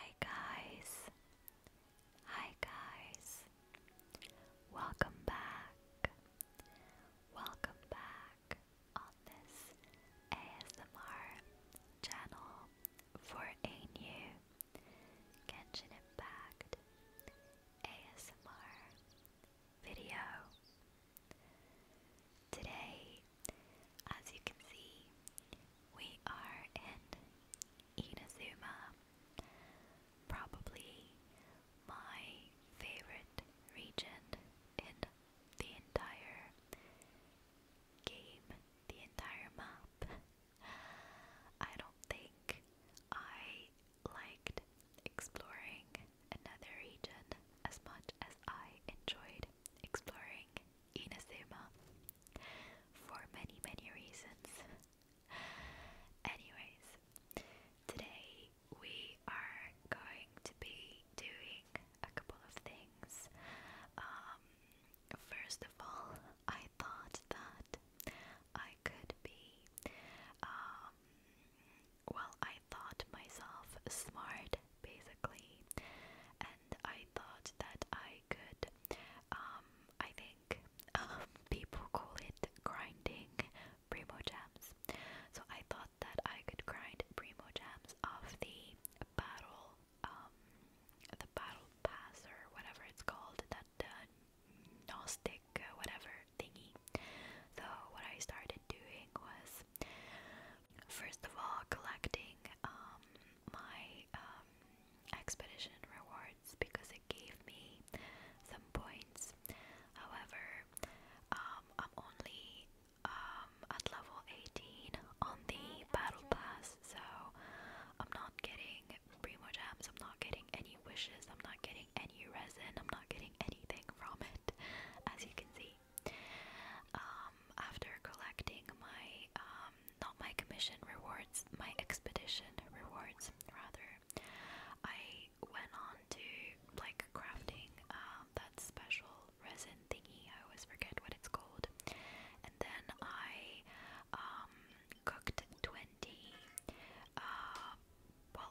Hi guys. Hi guys. Welcome back. Welcome back on this ASMR channel for a new Genshin Impact ASMR video. Today as you can see, we are in Inazuma, probably my favorite region in the entire game, the entire map. I don't think I liked exploring another region as much as I enjoyed exploring in a Inazuma for many, many reasons. Anyways, today we are going to be doing a couple of things. Um, first of all, I thought that I could be, um, well, I thought myself smart basically, and I thought that I could, um, I think um, people call it grinding Primo Gems. So I thought that I could grind Primo Gems off the battle, um, the battle pass or whatever it's called, that uh, Gnostic, uh, whatever thingy. So what I started doing was First of all, collecting um, my um, expedition rewards because it gave me some points. However, um, I'm only um, at level 18 on the battle pass, so I'm not getting primo gems, I'm not getting any wishes, I'm not getting any resin, I'm not getting anything from it. As you can see, um, after collecting my, um, not my commission rewards, my expedition rewards rather, I went on to like crafting um, that special resin thingy. I always forget what it's called. And then I cooked 20, uh, well,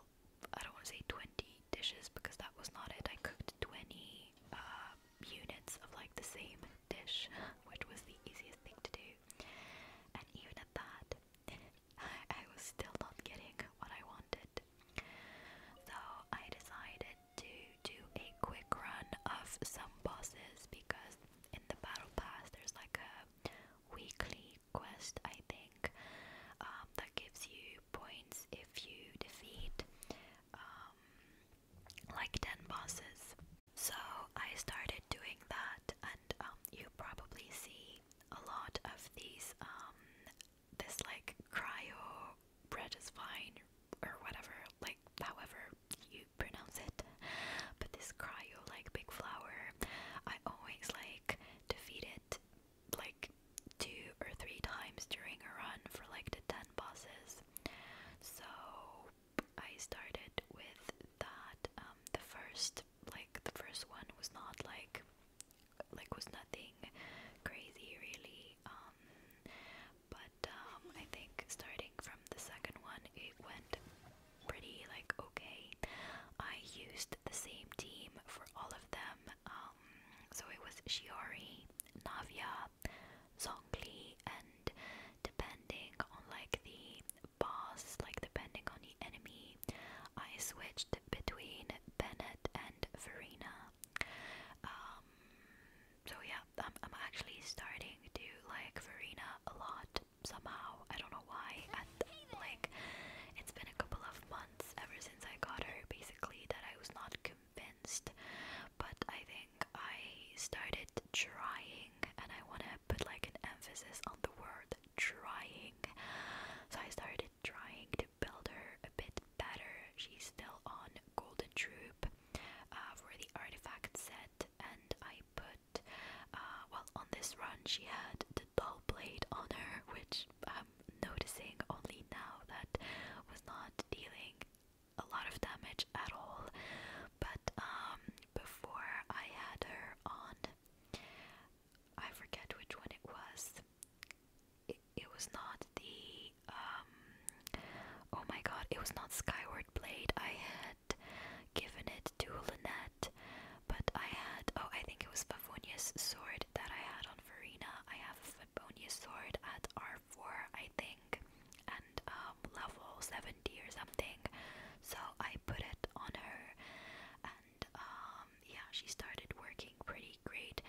I don't want to say 20 dishes because that was not it. I cooked 20 uh, units of like the same dish, which was the easiest thing to do. And even at that, I, was still not getting what I wanted. So I decided to do a quick run of some bosses because in the battle pass there's like a weekly quest, I think, um, that gives you points if you defeat um, like 10 bosses. So I started doing that, and um, you probably see a lot of these, um, this like cryo bread is fine or whatever, like however you pronounce it. But this cryo, like big flower, I always like defeat it like two or three times during a run for like the 10 bosses. So I started with that. Um, the first, like the first one, was not like, like was nothing crazy really. Um, but um, I think starting from the second one, it went pretty like okay. I used the same team for all of them. Um, so it was Shiori, Navia, Zhongli and depending on like the boss, like depending on the enemy, I switched between Bennett and Farina. Um, so yeah, I'm, actually starting to like Farina a lot somehow. I don't know why. At, like, it's been a couple of months ever since I got her, basically, that I was not convinced, but I think I started trying, and I want to put like an emphasis on the word trying. So I started trying to build her a bit better. She's still on Golden Troop uh, for the artifact set, and I put, uh, well, on this run she had the dull blade on her, which I'm noticing only now that was not dealing a lot of damage at all. But um, before I had her on, I forget which one it was. It, it was not the um, oh my god, it was not Skyward Blade. I had given it to Lynette, but I had oh, I think it was Pavonia's sword that I had on Farina. I have Bonus sword at R4, I think, and um, level 70 or something. So I put it on her, and um, yeah, she started working pretty great.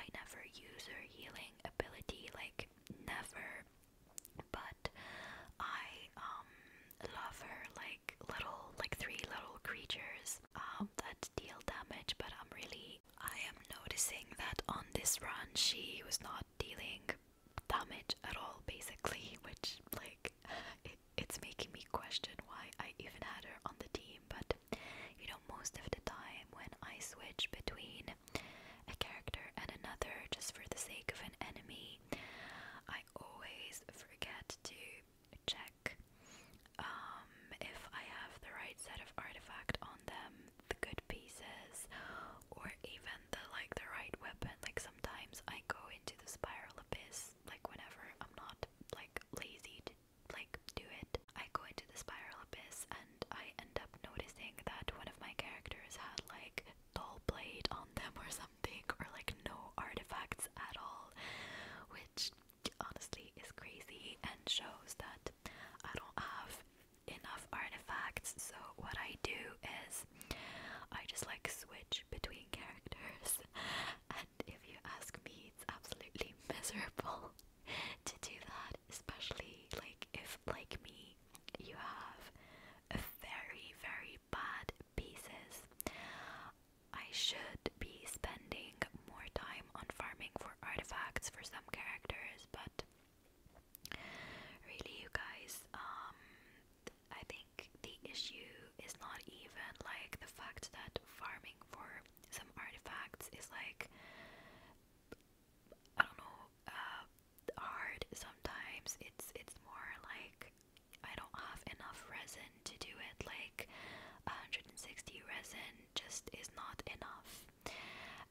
I never use her healing ability, like, never, but I um, love her, like, little, like, three little creatures um, that deal damage, but I'm really I am noticing that on this run she was not dealing damage at all, basically, which, like, it's making me question why I even had her on the team. But, you know, most of the time when I switch between a character and another just for the sake of an enemy, I always forget to check. Um, um, if I have the right set of artifact on them, the good pieces, or even the like the right weapon. Like sometimes I go into the spiral abyss, like whenever I'm not like lazy to like do it. I go into the spiral abyss and I end up noticing that one of my characters had like dull blade on them or something, or like no artifacts at all, which honestly is crazy and shows that I don't have enough artifacts, so what I do is I just like switch between characters, and if you ask me, it's absolutely miserable to do that, especially like if, like me, you have very, very bad pieces. I should be spending more time on farming for artifacts for some characters, but really, you guys, um, I think the issue is not even like the fact that farming for some artifacts is like, I don't know, uh, hard sometimes. It's it's more like I don't have enough resin to do it. Like 160 resin just is not enough.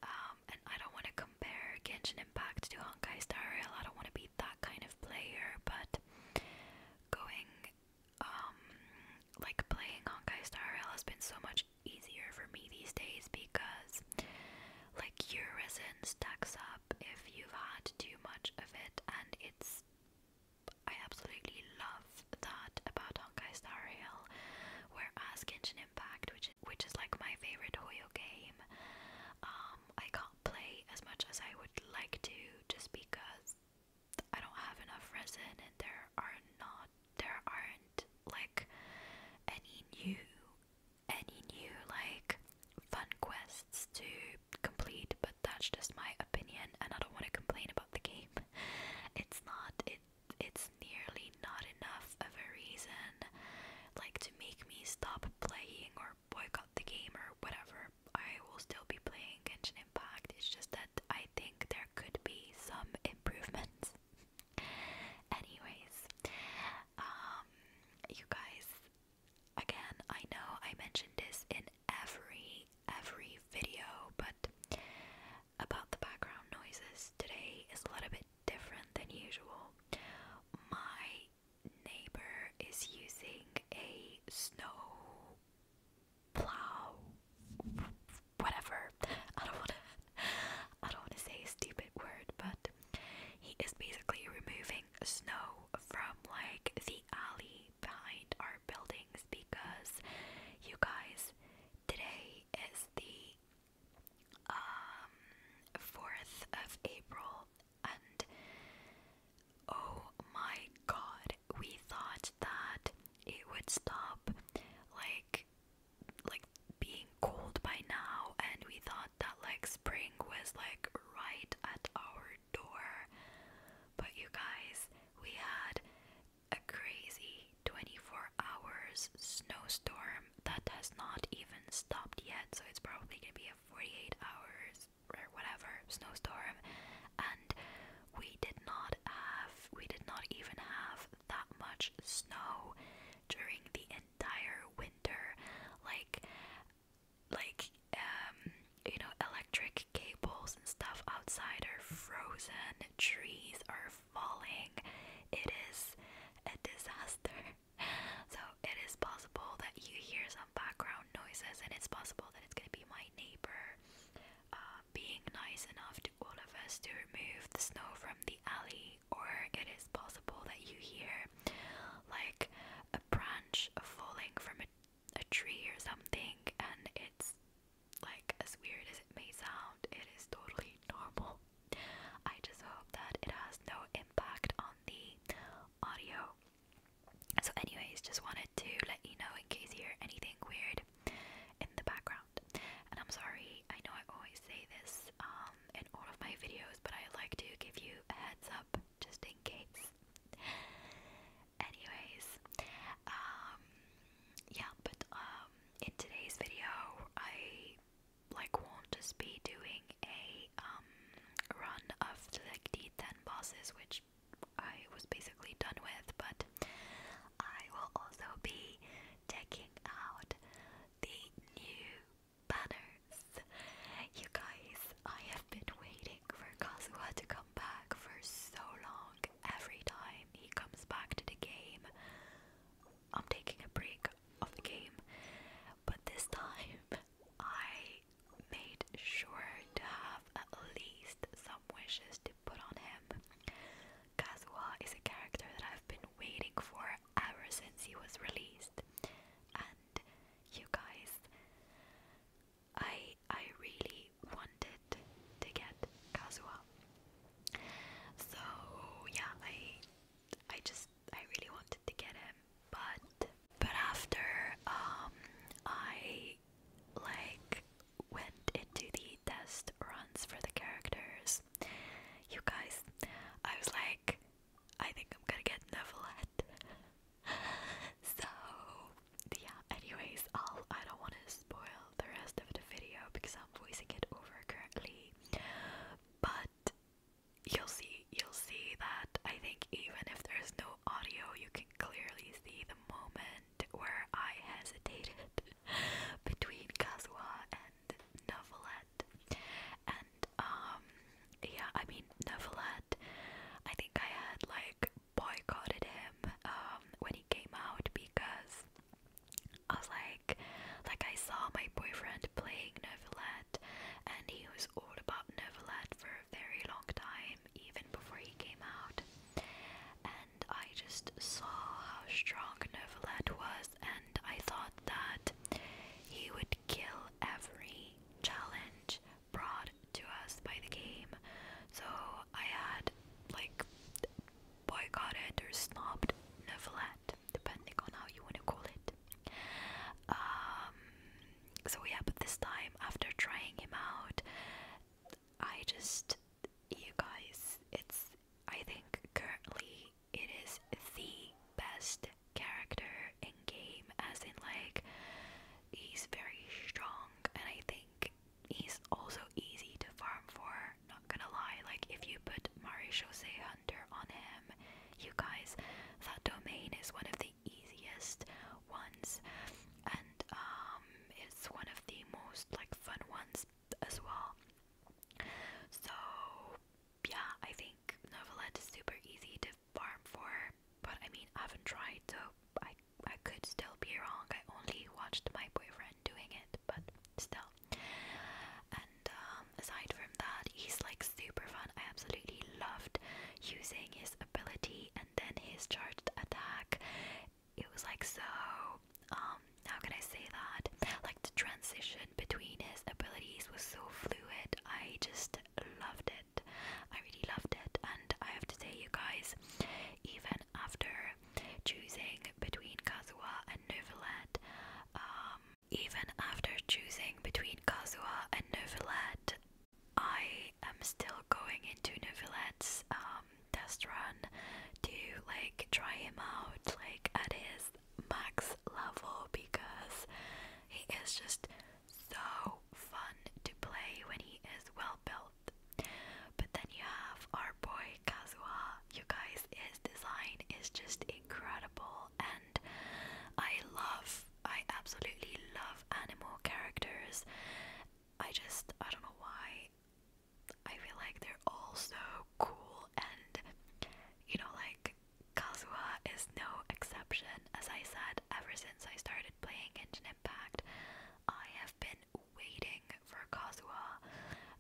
Um, and I don't want to compare Genshin Impact to Honkai Star Rail. I don't want to be that kind of player, but going, um, like playing Honkai Star Rail has been so much easier for me these days because, like, your stacks up if you've had too much of it, and it's. I absolutely love that's that about Honkai Star Rail. Whereas Genshin Impact, which which is like my favorite Hoyo game, um, I can't play as much as I would like to just because I don't have enough resin and there are not there aren't like any new any new like fun quests to complete but that's just my opinion and I don't want to complain about the game. It's not it it's nearly not enough of a reason like to make me stop playing or boycott the game or whatever. I will still be playing Genshin Impact. It's just that I think there could be some improvements. Anyways, um you guys again, I know I mentioned this in every every video, but about the background noises. Today is a little bit different than usual. My neighbor is using a snow plow whatever. I don't wanna I don't wanna say stupid word, but he is basically removing snow from like the alley behind our buildings because you guys today is the 4th um, of April and oh my god we thought that it would stop like like being cold by now and we thought that like spring was like right at our door but you guys we had a crazy 24 hours snowstorm that has not even stopped yet, so it's probably gonna be a 48 hours or whatever snowstorm. And we did not have, we did not even have that much snow during the entire winter. Like, like, um, you know, electric cables and stuff outside are frozen, trees are falling, it is a disaster. So it is possible that you hear some background noises, and it's possible that it's going to be my neighbor uh, being nice enough to all of us to remove the snow from the alley, or it is possible that you hear like a branch falling from a tree or something, and it's like, as weird as it may sound, it is totally normal. I just hope that it has no impact on the audio. So, anyways, just wanted to let you know in case you hear anything weird in the background. And I'm sorry, I know I always say this um, in all of my videos, but I like to give you a heads up just in case. Anyways, um yeah but um in today's video I like won't just be doing a um run of like the 10 bosses which I was basically done with but I will also be checking out the new banners you guys I have been waiting for Kazuha to come back for so long every time he comes back to the game, I'm taking a break of the game. But this time, I made sure to have at least some wishes to put on him. Kazuha is a character that I've been waiting for ever since he was released. And you guys, I I really wanted to get Kazuha. So yeah, I I just I really wanted to get him, but but after um I like went into the test runs for the characters. You guys, I was like, I think I'm gonna get Nevelette. so yeah, anyways, I'll I don't wanna spoil the rest of the video because I'm voicing it over currently. But you'll see, you'll see that I think even if there's no audio, you can clearly see the moment where I hesitated between Kazuha and Novelette. And um, yeah, I mean Novelette. I think I had like boycotted him um, when he came out because I was like, like I saw my boyfriend playing Novelette, and he was all about Novelette for a very long time, even before he came out. And I just saw how strong Novelette was, and I thought that he would kill every challenge brought to us by the game. So I had like boycotted or never novelette, depending on how you want to call it. Um, so yeah, but this time after trying him out, I just, you guys, it's I think currently it is the best character in game, as in like he's very strong, and I think he's also easy to farm for, not gonna lie. Like, if you put Marie Jose Hunter on him, you guys, that domain is one of the easiest ones, and um, it's one of the most like fun ones as well. So, yeah, I think Novelette is super easy to farm for, but I mean, I haven't tried, so I I could still be wrong. I only watched my boyfriend doing it, but still. And um, aside from that, he's like super fun. I absolutely loved using his ability and then his charged attack. It was like so. Um, how can I say that? Like the transition between his abilities was so fluid. I just loved it. I really loved it, and I have to say, you guys, even after choosing between Kazuha and Nouvellette, um, even after choosing between Kazuha and Nouvellette, I am still going into Nouvellette's um, test run to like try him out like at his max level because he is just so fun to play when he is well built that. But then you have our boy Kazuha. You guys, his design is just incredible, and I love, I absolutely love animal characters. I just, I don't know why. I feel like they're all so cool, and you know, like Kazuha is no exception. As I said, ever since I started playing Engine Impact, I have been waiting for Kazuha.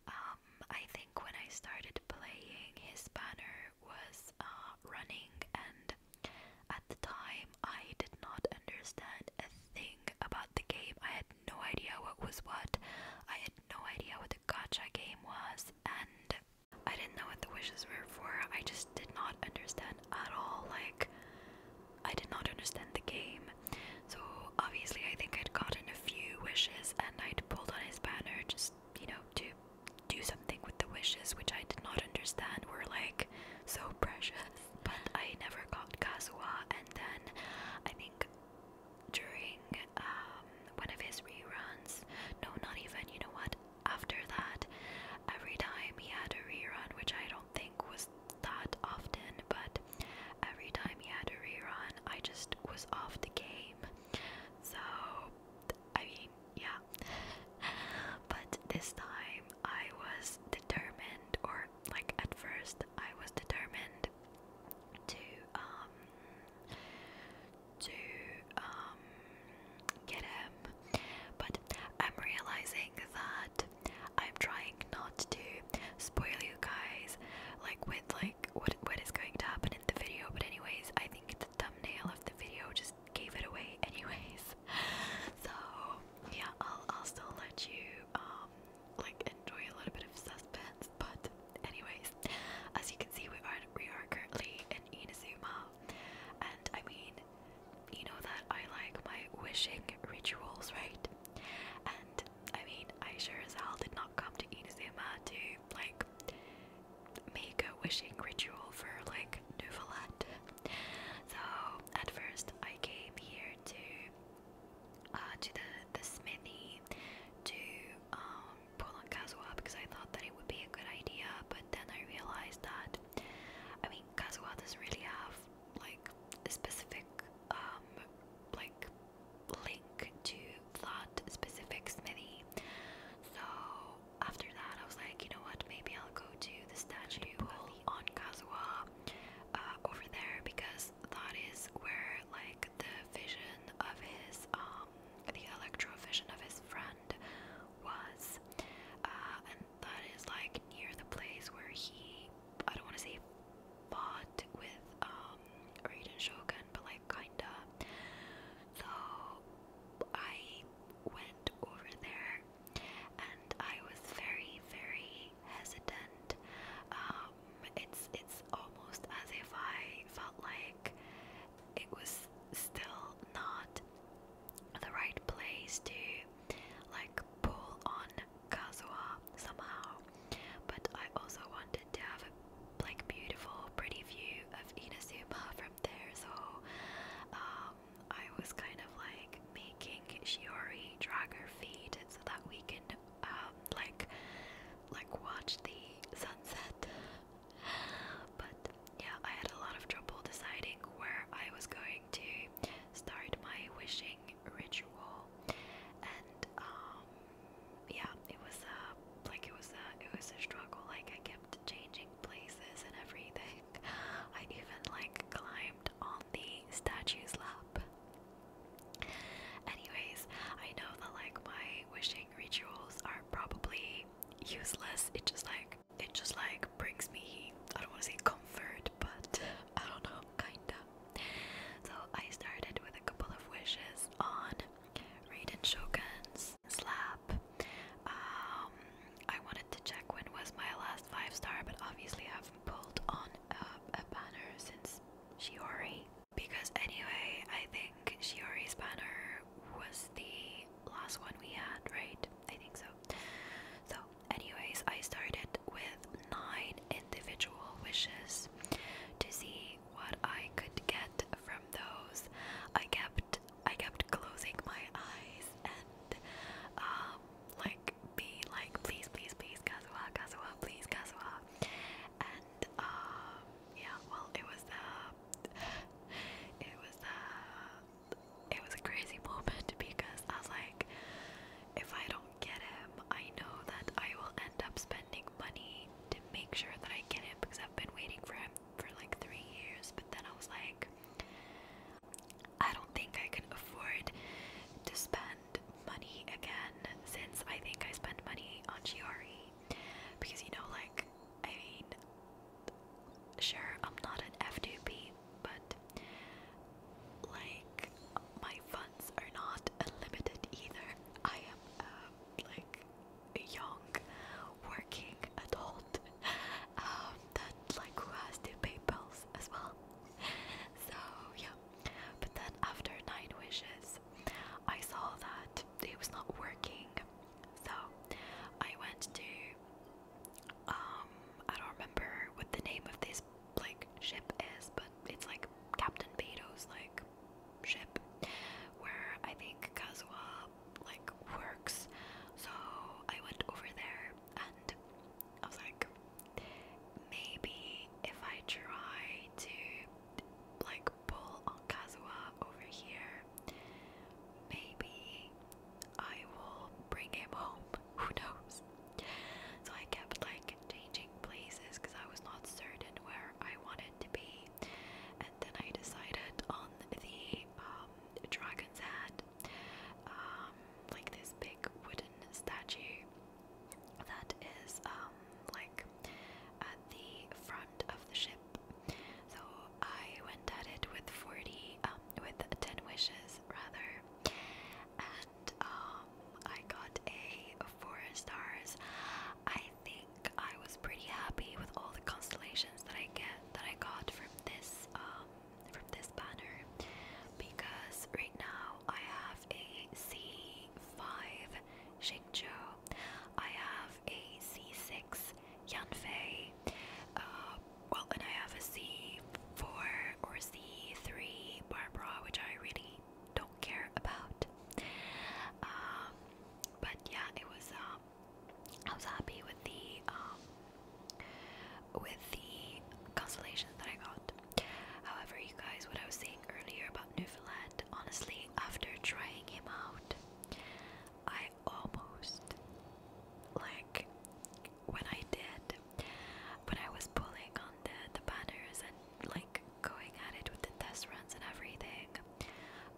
Um, I think when I started playing, his banner was uh, running, and at the time I did not understand a thing about the game. I had no idea what was what. I had no idea what the gacha game was, and I didn't know what the wishes were for. I just did not understand at all. Like, I did not understand the game. So obviously, I think I'd gotten a few wishes and I'd pulled on his banner just, you know, to do something with the wishes, which I did not understand were like so precious. But I never got Kazuha, and then I think during um, one of his reruns, no, not even, you know what, after that, every time he had a rerun, which i don't think was that often, but every time he had a rerun, I just was off the game. So, I mean, yeah. but this time I was determined, or like at first, I was determined to, um, to um get him but I'm realizing that I'm trying not to spoil you guys like with like what what is going to happen in the video but anyways I think the thumbnail of the video just gave it away anyways so yeah I'll I'll still let you um like enjoy a little bit of suspense but anyways as you can see we are we are currently in Inazuma and I mean you know that I like my wishing rituals, right? And I mean, I sure as hell did not come to Inazuma to like make a wishing ritual for like Nouvelette. So at first, I came here to uh, to the the smithy to um, pull on Kazuha because I thought that it would be a good idea, but then I realized that I mean Kazuha doesn't really have like specific um like link to that specific smithy. So after that, I was like, you know what? Maybe I'll go to the statue on Casua, uh, over there because that is where like the vision of his um the electro vision of his friend was. Uh, that is like near the place where he I don't want to say fought with um Raiden Shogun, but like kinda. So I went over there and I was very, very hesitant. Um, it's it's almost as if I felt like it was still not the right place to like pull on Kazuha somehow. But I also wanted to have like beautiful, pretty view of Inazuma from there, so um, I was kind of like making Shiori drag her feet so that we can um, like like watch the sunset. but yeah, I had a lot of trouble deciding where I was going to start my wishing ritual, and um, yeah, it was a like it was a it was a struggle. Like I kept changing places and everything. I even like climbed on the statue's lap. Anyways, I know that like my wishing rituals are probably useless. It just like it just like brings me I don't want to say comfort, but I don't know, kinda. So I started with a couple of wishes on Raiden Shogun's slap. Um, I wanted to check when was my last five star, but obviously I haven't pulled on a, a banner since Shiori. Because anyway, I think Shiori's banner was the last one we had, right? I think so. So, anyways, I started with nine individual wishes to see what I could get from those. I kept I kept closing my eyes and um like be like please please please Kazuha Kazuha please Kazuha and um yeah well it was the it was the it was a crazy moment because I was like, if I don't get him, I know that I will end up spending money to make sure that I get him because I've been waiting for him for like three years. But then I was like, I don't think I can afford to spend money again since I think I spent money on Chiari because you know, like, I mean, sure, I'm not an F2P, but like, my funds are not unlimited either. I am, uh, like, young working adult um, that, like, who has to pay bills as well. So, yeah. But then after Nine Wishes, I saw that it was not working. So, I went to, um, I don't remember what the name of this like ship is, but it's like Captain Beto's like ship where I think Kazuha like works. So I went over there and I was like maybe if I try to like pull on Kazuha over here maybe I will bring him home. Who knows? So I kept like changing places because I was not certain where I wanted to be. And then I decided on the um, dragon's head, um, like this big wooden statue that is um, like at the front of the ship. So I went at it with 40, with 10 wishes rather, and um, I got a four stars. I think I was pretty happy with all the constellations that I get that I got from this um, from this banner because right now I have a C5 Shingzhou, I have a C6 Yanfei, uh, well, and I have a C4 or C3 bar which I really don't care about. Um, but yeah, it was. Um, I was happy with the um, with the constellations that I got. However, you guys, what I was saying earlier about Newfoundland, honestly, after trying him out, I almost like when I did, when I was pulling on the, the banners and like going at it with the test runs and everything,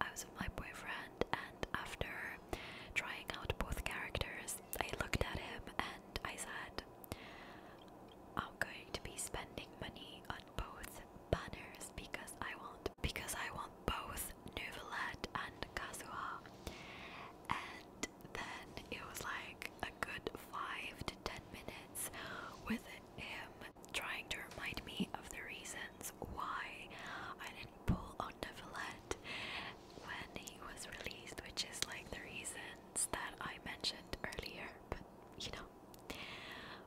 I was with my boyfriend, and after trying out both characters, I looked at him and I said, I'm going to be spending money on both banners because I want because I want both Nouvellette and Kazuha. And then it was like a good five to ten minutes with him trying to remind me of the reasons why I didn't pull on Nevelette when he was released, which is like the reasons that I mentioned earlier, but you know.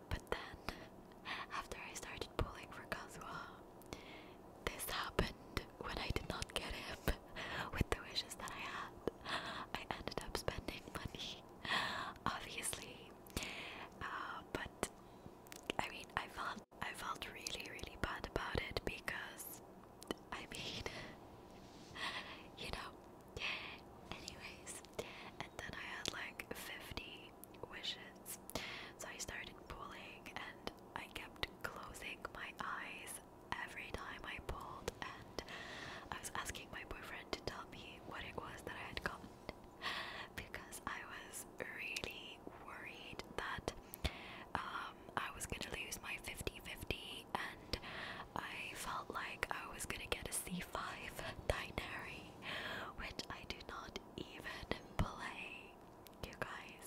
But then, after I started pulling for Kazuha, this happened when I did not get him with the wishes that I had. I ended up spending money, obviously. Uh, but I mean, I felt I felt really, really bad about it because I mean, you know. Anyways, and then I had like 50 wishes, so I started pulling and I kept closing my eyes every time I pulled, and I was asking my boyfriend to tell me what it was that I had gotten because I was really worried that um, I was gonna lose my 50 50, and I felt like I was gonna get a C5 Dinary, which I do not even play you guys.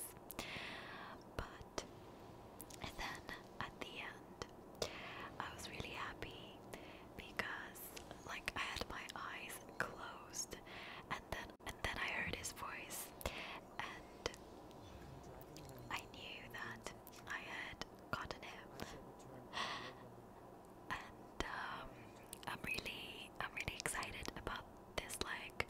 But and then at the end, I was really happy because like I had my eyes closed, and then and then I heard his voice, and I knew that I had gotten him. and um, I'm really, I'm really excited about this like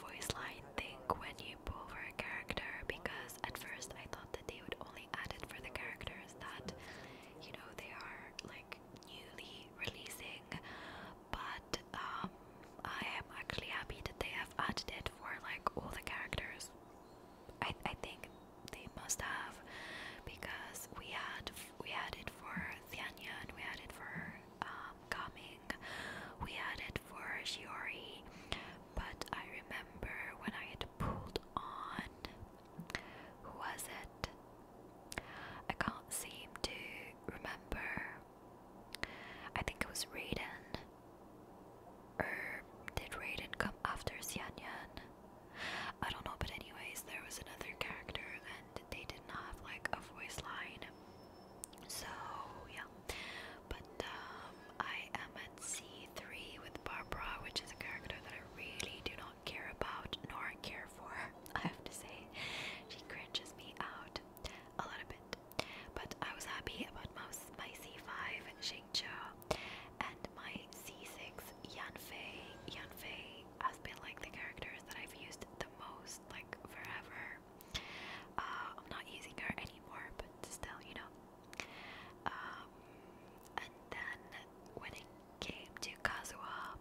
voice line thing when you pull over a character because at first I thought that they would only add it for the characters that you know they are like newly releasing but um I am actually happy that they have added it for like all the characters. I I think they must have because we had we had it for Thianya and we had it for uh, coming. We had it for Shiori, but I remember when I had pulled on. Who was it? I can't seem to remember. I think it was Raiden. Or er, did Raiden come after Xianyan? I don't know, but anyways, there was another character and they didn't have like a voice line. So yeah. But um, I am at C3 with Barbara, which is a character that I really do not care about nor care for. I have to say, she cringes me out a little bit. But I was happy about my, my C5 Xingqiu and my C6 Yanfei. Yanfei has been like the characters that I've used the most, like forever. Uh, I'm not using her anymore, but still, you know. Um, and then when it came to Kazuha,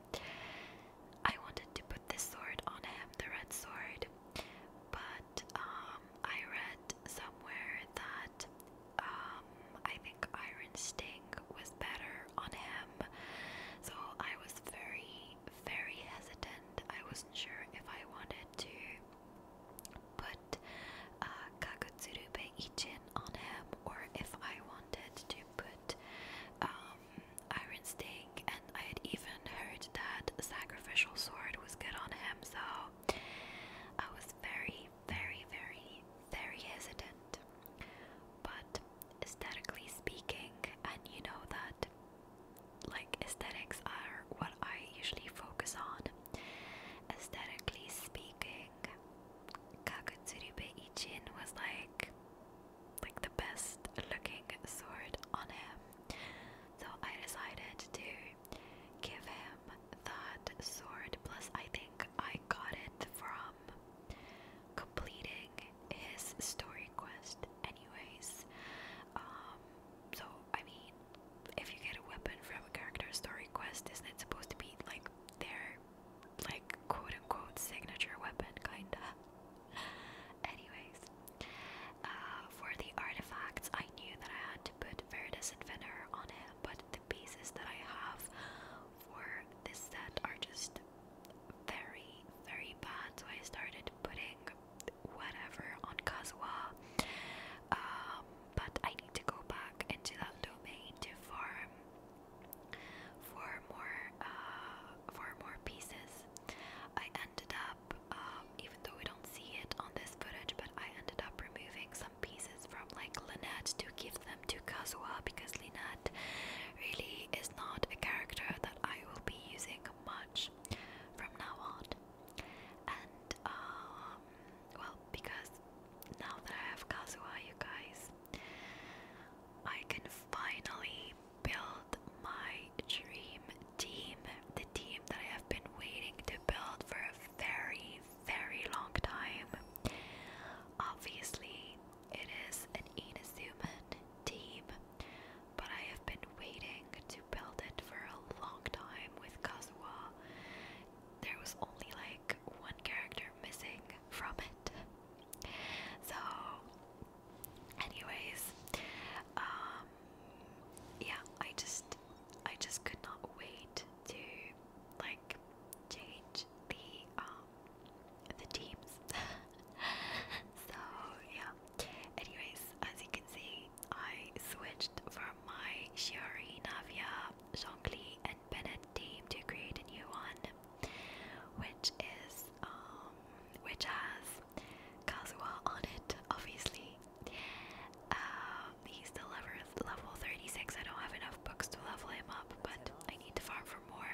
I wanted to put this sword on him, the red sword, but um, I read somewhere that um, I think Iron Sting was better on him, so I was very very hesitant. I wasn't sure if I wanted to put uh, Ichin on him or if I wanted to put um, Iron Sting, and I had even heard that Sacrificial Sword was good on him, so I was very, very, very, very hesitant. But aesthetically speaking, and you know that like aesthetics are what I usually focus on. Aesthetically speaking, Kakutsuri Beichin was like like the best looking sword on him. So I decided to give him that sword. Plus I think I got it from completing his story quest anyways. Um, so, I mean, if you get a weapon from a character story quest, isn't it supposed to be like their, like, quote unquote, signature weapon, kinda? Anyways, uh, for the artifacts, I knew that I had to put Veritas Inventor on it, but the pieces that I have for this set are just very, very bad, so I started putting whatever on Kazua, Um, but I need to go back into that domain to farm for more uh, for more pieces. I ended up, um, even though we don't see it on this footage, but I ended up removing some pieces from like Lynette to give them to Kazua because Lynette really is not a character that I will be using much from now on. And um, well, because now that I have Kazuha, you guys, I can finally build my dream team. The team that I have been waiting to build for a very, very long time. Obviously, it is an Inazuman team but I have been waiting to build it for a long time with Kazuha. There was only like one character missing from it. So, anyways, um, yeah, I just, I just could not wait to like change the um the teams. so yeah, Anyways, as you can see, I switched from my Shiori, Navia, Zhongli, and Bennett team to create a new one, which is um, which has Kazuha on it, obviously. Uh, he's still level, level 36. I don't have enough books to level him up, but I need to farm for more.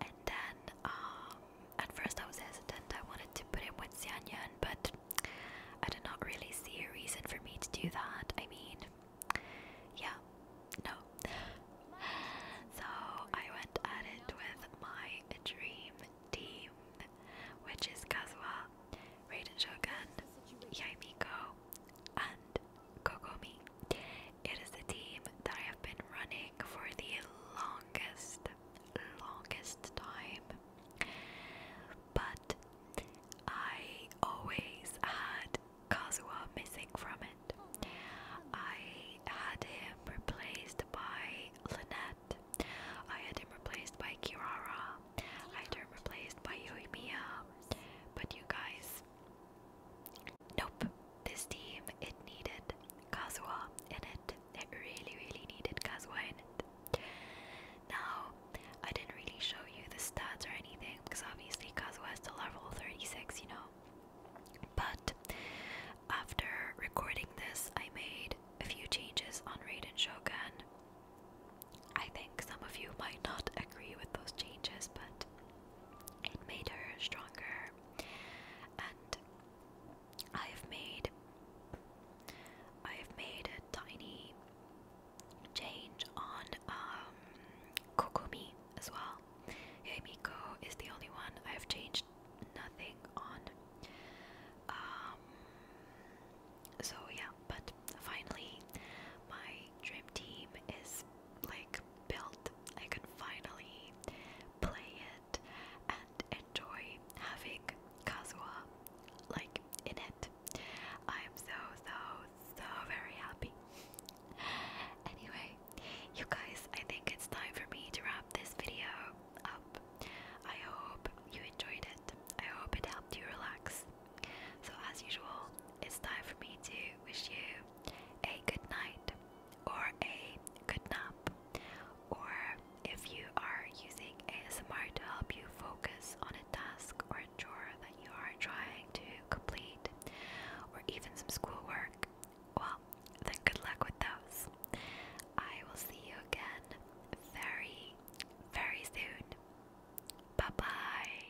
And then um, at first I was hesitant. I wanted to put him with Xianyan, but I did not really see a reason for me to do that. I mean, yeah, no. so I went at it with my dream team, which is Kazuha, Raiden Shogun, Yami Ko, and Kokomi. It is the team that I have been running for the longest longest time, but I always had Kazuha missing from it. I had him replaced by Linette. I had him replaced by Kirara, I had him replaced by Yoimiya, but you guys. Nope, this team, it needed Kazuha in it. It really, really needed Kazuha in it. Now, I didn't really show you the stats or anything because obviously Kazuha is still level 36, you know. But after recording this, I made a few changes on Raiden Shogun. I think some of you might not agree with those changes, but it made her stronger and I have made I have made a tiny change on um, Kokomi as well. Heimiko is the only one I have changed nothing on. Um, so yeah, but finally my dream team is like built. I can finally play and enjoy having Kazuha like in it. I'm so so so very happy. Anyway, you guys, I think it's time for me to wrap this video up. I hope you enjoyed it. I hope it helped you relax. So, as usual, it's time for me to wish you a good night or a good nap or if you are using ASMR to help you focus on a task or a chore that you are trying to complete, or even some schoolwork, well, then good luck with those. I will see you again very, very soon. Bye bye.